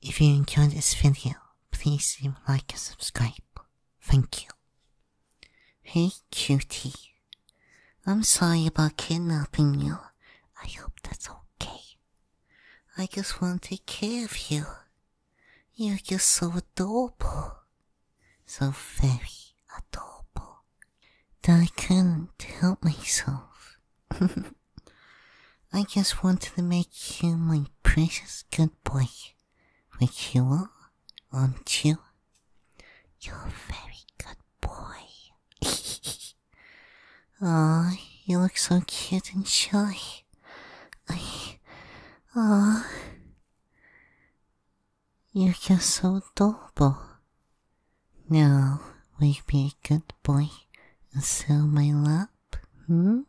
If you enjoyed this video, please leave a like and subscribe. Thank you. Hey cutie, I'm sorry about kidnapping you. I hope that's okay. I just want to take care of you. You're just so adorable. So very adorable. That I couldn't help myself. I just wanted to make you my precious good boy, which you are, aren't you? You're a very good boy. Aw, you look so cute and shy. I... Aw... You're just so adorable. Now, will you be a good boy and so my love? hmm?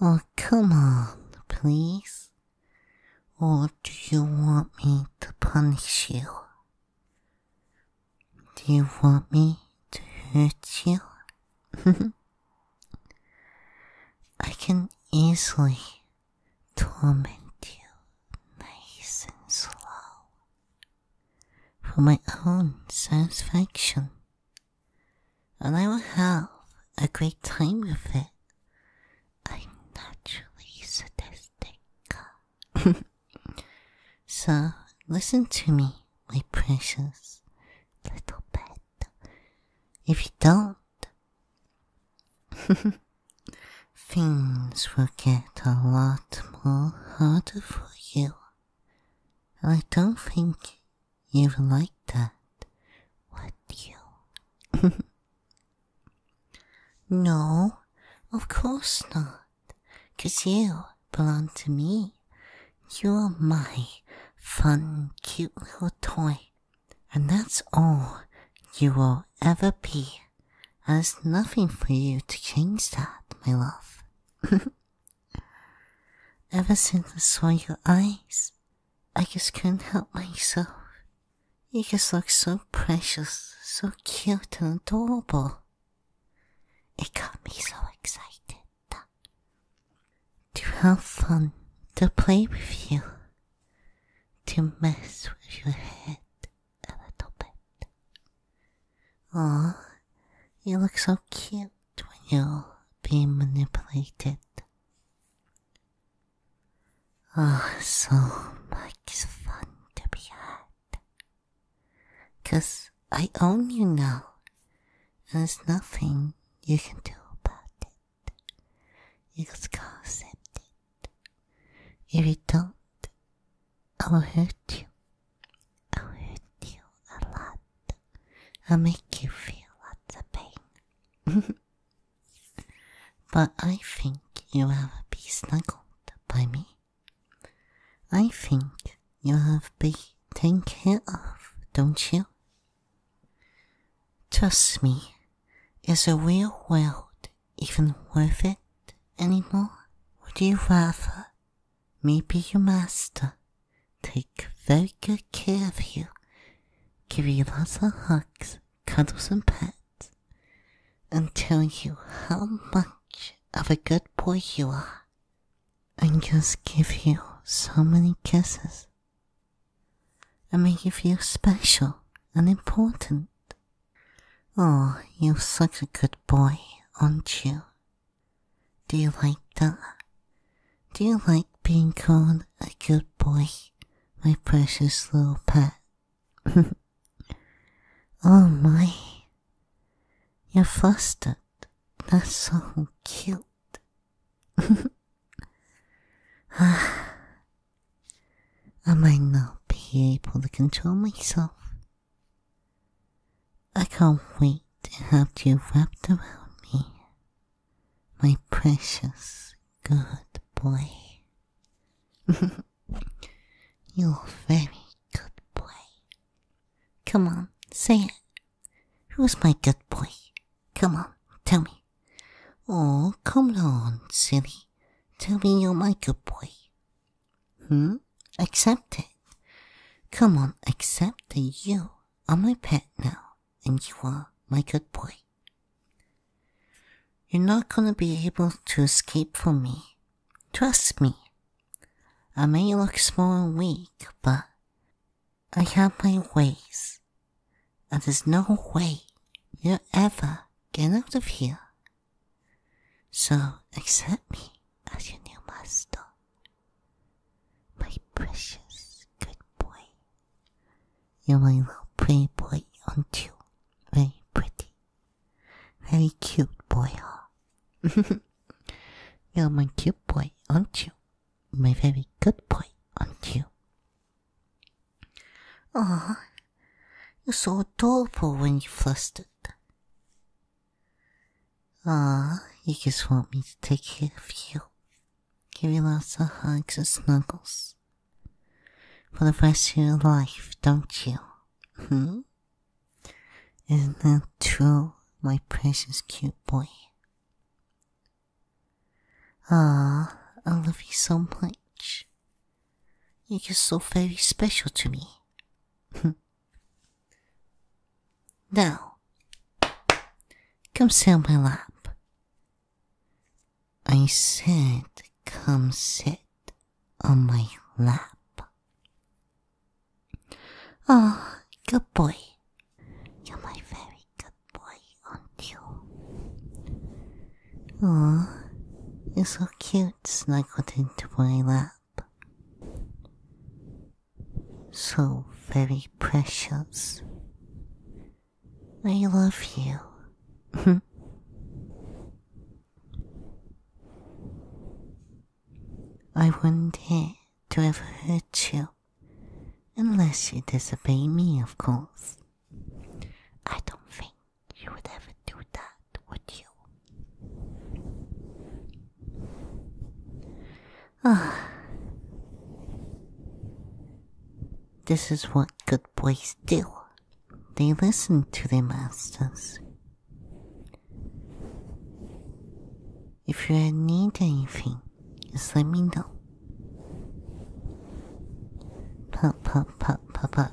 Oh, come on, please. Or do you want me to punish you? Do you want me to hurt you? I can easily torment you nice and slow for my own satisfaction, and I will have a great time with it. I'm naturally sadistic. so listen to me, my precious little pet. If you don't, things will get a lot more harder for you. I don't think you'd like that, would you? no, of course not, 'cause you belong to me. You're my fun, cute little toy, and that's all you will ever be. There's nothing for you to change that, my love. Ever since I saw your eyes, I just couldn't help myself. You just look so precious, so cute and adorable. It got me so excited to have fun, to play with you, to mess with your head, a little bit. Aw, you look so cute when you're being manipulated. Oh, so much fun to be had. Cause I own you now, and there's nothing you can do about it. You just gotta accept it. If you don't, I'll hurt you. I'll hurt you a lot. I'll make you feel lots of pain. but I think you'll ever be snuggled by me. I think you have be taken care of, don't you? Trust me, is a real world even worth it anymore? Would you rather Maybe your master take very good care of you, give you lots of hugs, cuddles and pets, and tell you how much of a good boy you are, and just give you so many kisses, and make you feel special and important Oh, you're such a good boy, aren't you? Do you like that? Do you like being called a good boy, my precious little pet? oh my. You're fostered. That's so cute. I might not be able to control myself I can't wait to have you wrapped around me, my precious good boy. You're very good boy. Come on, say it. Who's my good boy? Come on, tell me. Oh, come on, silly. Tell me you're my good boy. Hmm? Accept it. Come on, accept that you are my pet now, and you are my good boy. You're not gonna be able to escape from me. Trust me. I may look small and weak, but I have my ways. And there's no way you'll ever get out of here so accept me as your new master, my precious good boy. You're my little pretty boy, aren't you? Very pretty, very cute boy, huh? You're my cute boy, aren't you? My very good boy, aren't you? Ah, you're so adorable when you flustered. Ah, you just want me to take care of you. Give you lots of hugs and snuggles. For the rest of your life, don't you? Hmm? Isn't that true, my precious cute boy? Ah, I love you so much. You're just so very special to me. now, come sit on my lap. I said, come sit on my lap. Oh, good boy. You're my very good boy, aren't you? Oh, you're so cute snuggled into my lap. So very precious. I love you. I wouldn't dare to ever hurt you. Unless you disobey me, of course. I don't think you would ever do that, would you? Ah. This is what good boys do. They listen to their masters. If you need anything, just let me know. Pop, pop, pop, pop, pop.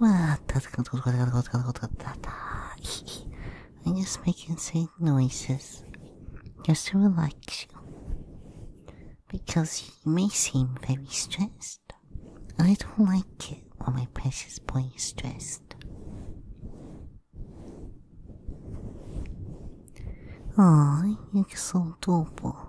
I'm just making sweet noises just to like you because you may seem very stressed. I don't like it when my precious boy is stressed. Ah, you're so adorable.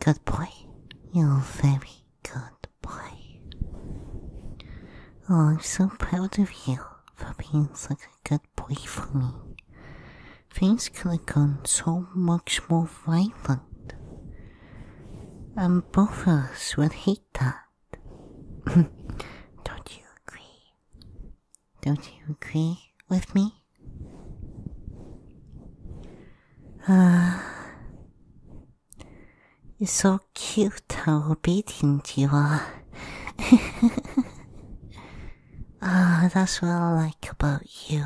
Good boy. You're very good boy. I'm so proud of you for being such a good boy for me. Things could have gone so much more violent. And both of us would hate that. Don't you agree? Don't you agree with me? Ah, you're so cute how obedient you uh? are. ah, that's what I like about you.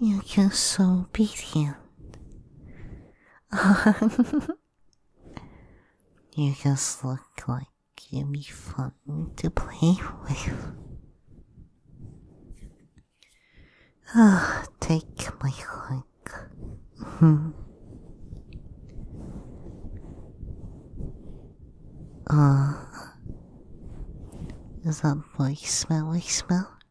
You're just so obedient. you just look like Give me fun to play with. Ah, take my hug. Hmm. Ah, uh, is that my smelly smell?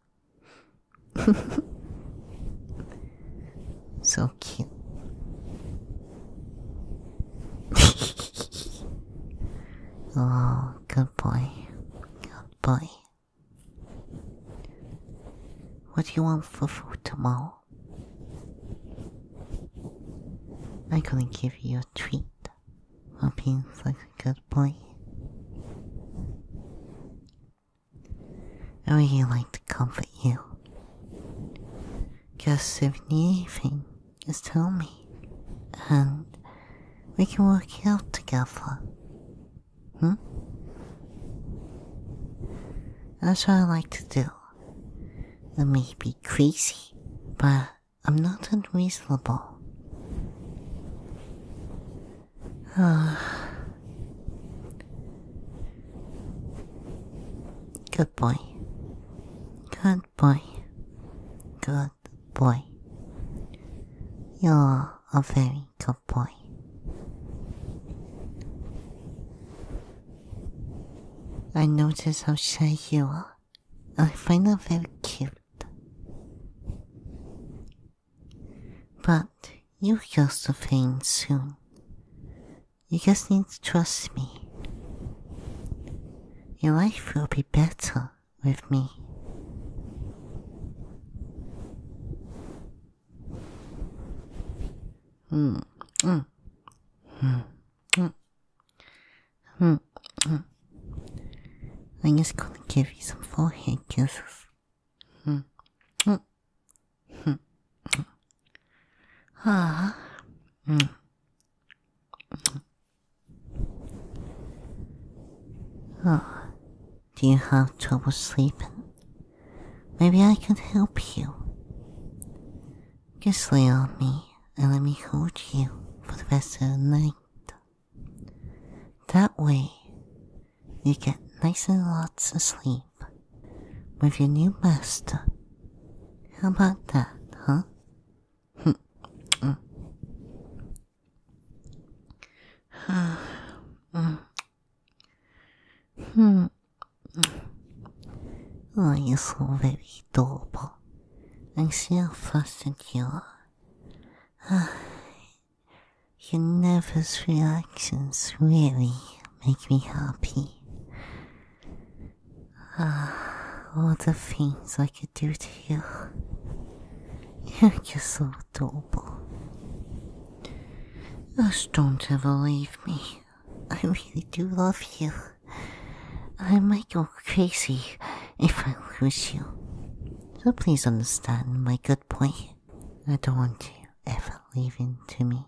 So cute. oh, good boy. Good boy. What do you want for food tomorrow? I couldn't give you a treat for being such a good boy. I would like to comfort you. Because if anything, just tell me. And we can work it out together. Hmm? That's what I like to do. I may be crazy, but I'm not unreasonable. Ah. Good boy. Good boy. Good boy. You're a very good boy. I notice how shy you are. I find that very cute. But you'll to faint soon. You just need to trust me. Your life will be better with me. Mm, mm, mm, mm, mm, mm. I'm just gonna give you some forehead kisses. Mm, mm, Ah. Oh, do you have trouble sleeping? Maybe I could help you. Just lay on me and let me hold you for the rest of the night. That way, you get nice and lots of sleep with your new master. How about that, huh? oh, you're so very adorable. I see how flustered you are. Ah, your nervous reactions really make me happy. Ah, all the things I could do to you. You're just so adorable. Just don't ever leave me. I really do love you. I might go crazy if I lose you. So please understand my good boy. I don't want you ever leaving to me.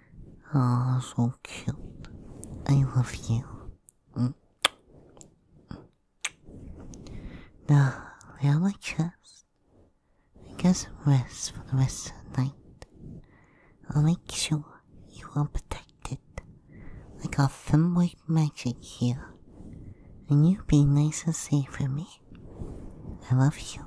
Oh, so cute. I love you. Mm. Now, lay on my chest and get some rest for the rest of the night. I'll make sure you are protected. I got white magic here, and you be nice and safe for me. I love you.